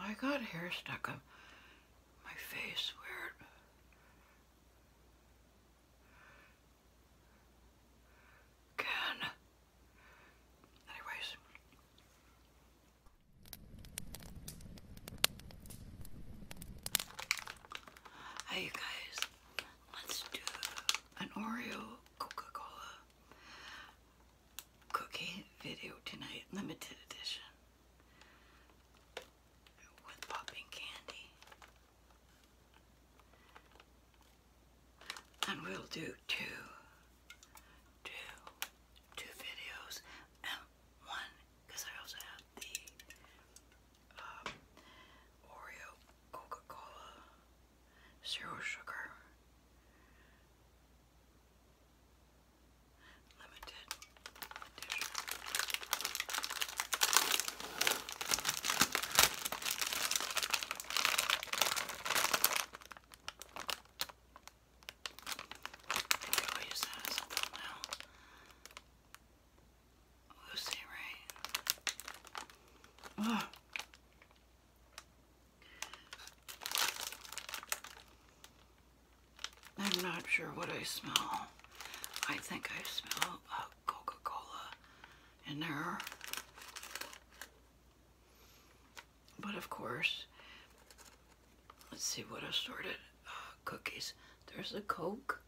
I got hair stuck up my face Weird. can. Anyways. Hey you guys, let's do an Oreo Coca-Cola cookie video tonight, limited edition with popping candy. And we'll do two, two, two videos, and one because I also have the um, Oreo Coca Cola, zero sugar, limited I'll that as a thumbnail. Lucy Ray. Ugh. I'm not sure what I smell. I think I smell uh, Coca-Cola in there. But of course, let's see what I sorted. Uh, cookies. There's a Coke.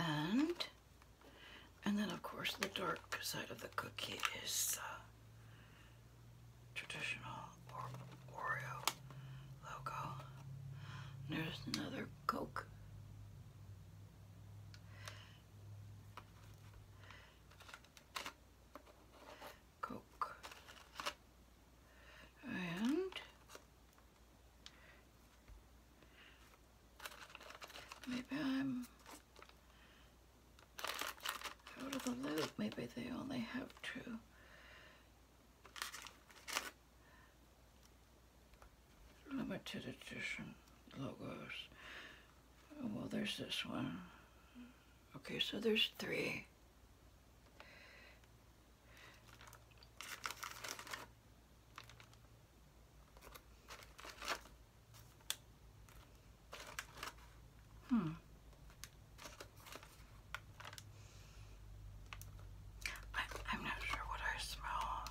And, and then of course the dark side of the cookie is uh, traditional Oreo logo. there's another Coke. Coke. And Maybe I'm out of the loop. Maybe they only have two. Limited edition logos. well, there's this one. Okay, so there's three. Hmm. I, am not sure what I smell.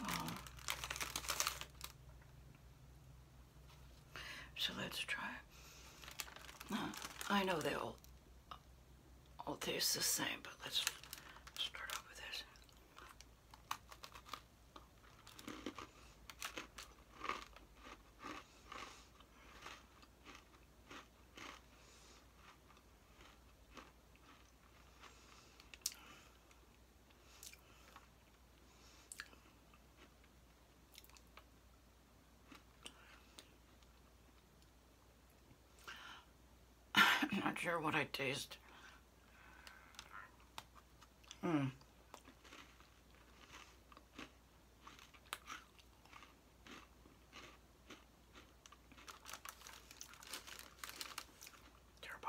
Oh. So let's try. I know they will all oh, tastes the same, but let's start off with this. I'm not sure what I taste. Hmm. Terrible.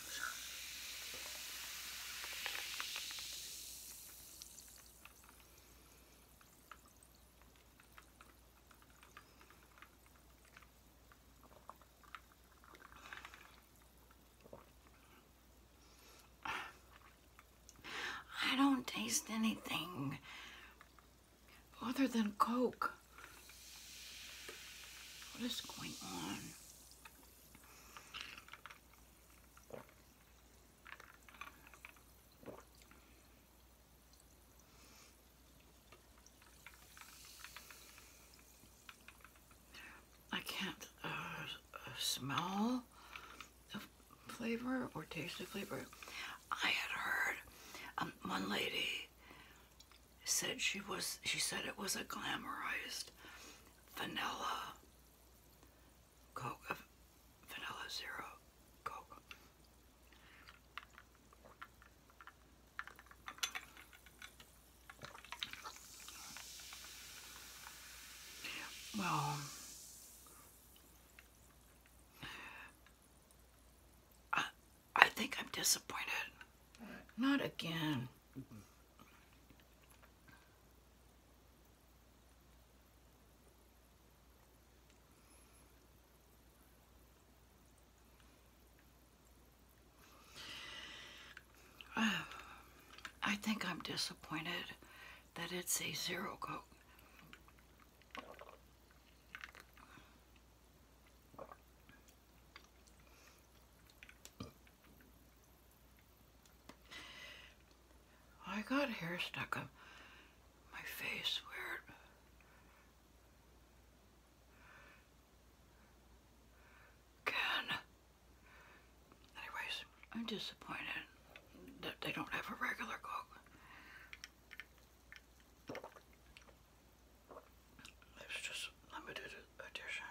I don't taste anything other than Coke. What is going on? I can't uh, smell the flavor or taste the flavor. I had heard um, one lady said she was, she said it was a glamorized vanilla Coke, uh, vanilla zero Coke. Well, um, I, I think I'm disappointed. Not again. I think I'm disappointed that it's a zero coat. I got hair stuck up my face Weird. can. Anyways, I'm disappointed that they don't have a regular Coke. It's just limited edition.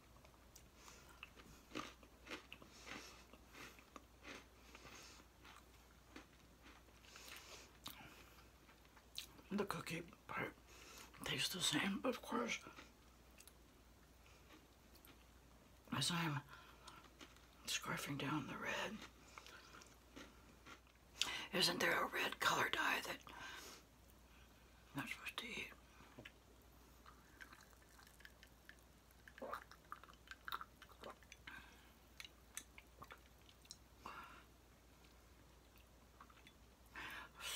The cookie part tastes the same, of course, as I'm scarfing down the red, isn't there a red color dye that I'm not supposed to eat?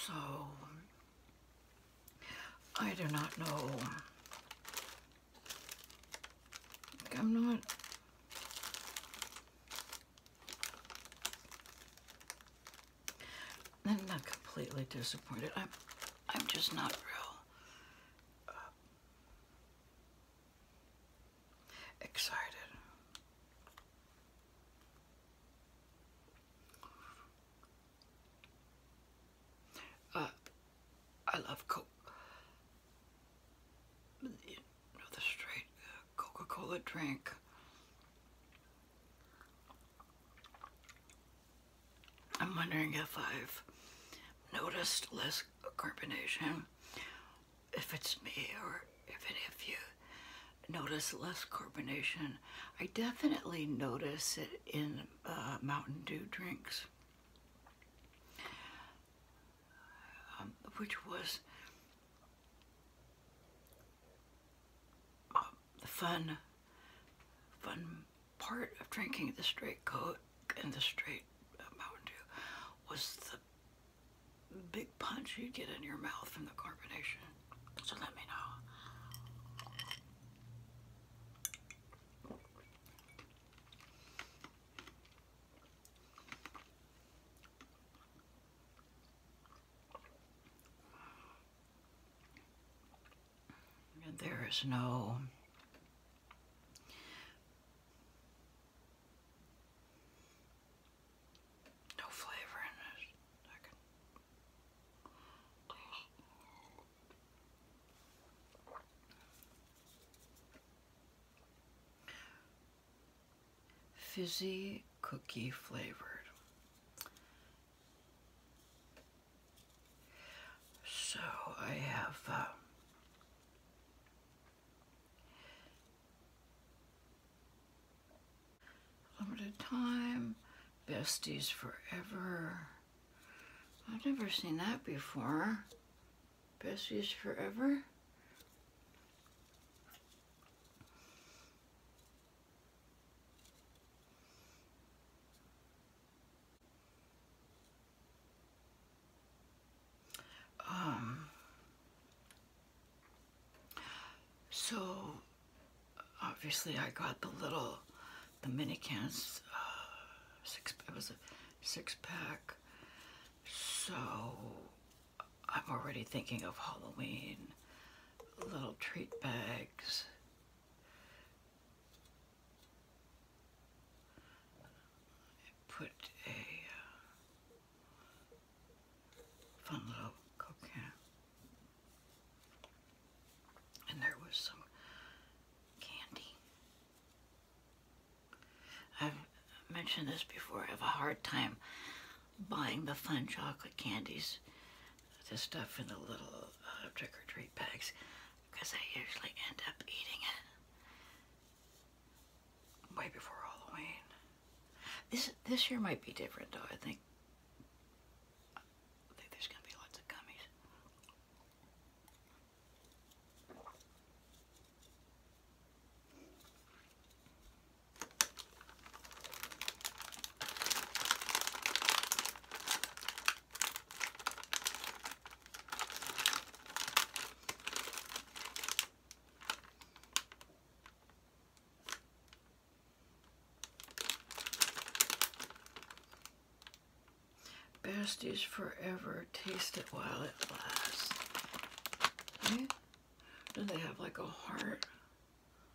So, I do not know. I'm not I'm not completely disappointed. I'm, I'm just not real uh, excited. Uh, I love the straight uh, Coca-Cola drink. I'm wondering if I've noticed less carbonation, if it's me or if any of you notice less carbonation. I definitely notice it in uh, Mountain Dew drinks, um, which was uh, fun, fun part of drinking the straight coke and the straight uh, Mountain Dew was the big punch you get in your mouth from the carbonation. So let me know there is no no flavor in this. Fizzy cookie flavored. So I have uh, limited time, besties forever. I've never seen that before. Besties forever. Um, so obviously I got the little, the mini cans, uh, six, it was a six pack. So I'm already thinking of Halloween, little treat bags put a uh, fun little coquin. And there was some candy. I've mentioned this before. I have a hard time buying the fun chocolate candies this stuff in the little uh, trick-or-treat bags because I usually end up eating it way before Halloween. This this year might be different though. I think I think there's gonna be lots of gummies. Best is forever. Taste it while it lasts. Do they have like a heart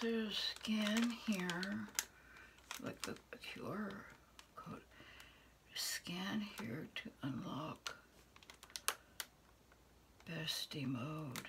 So scan here, like the QR code, scan here to unlock bestie mode.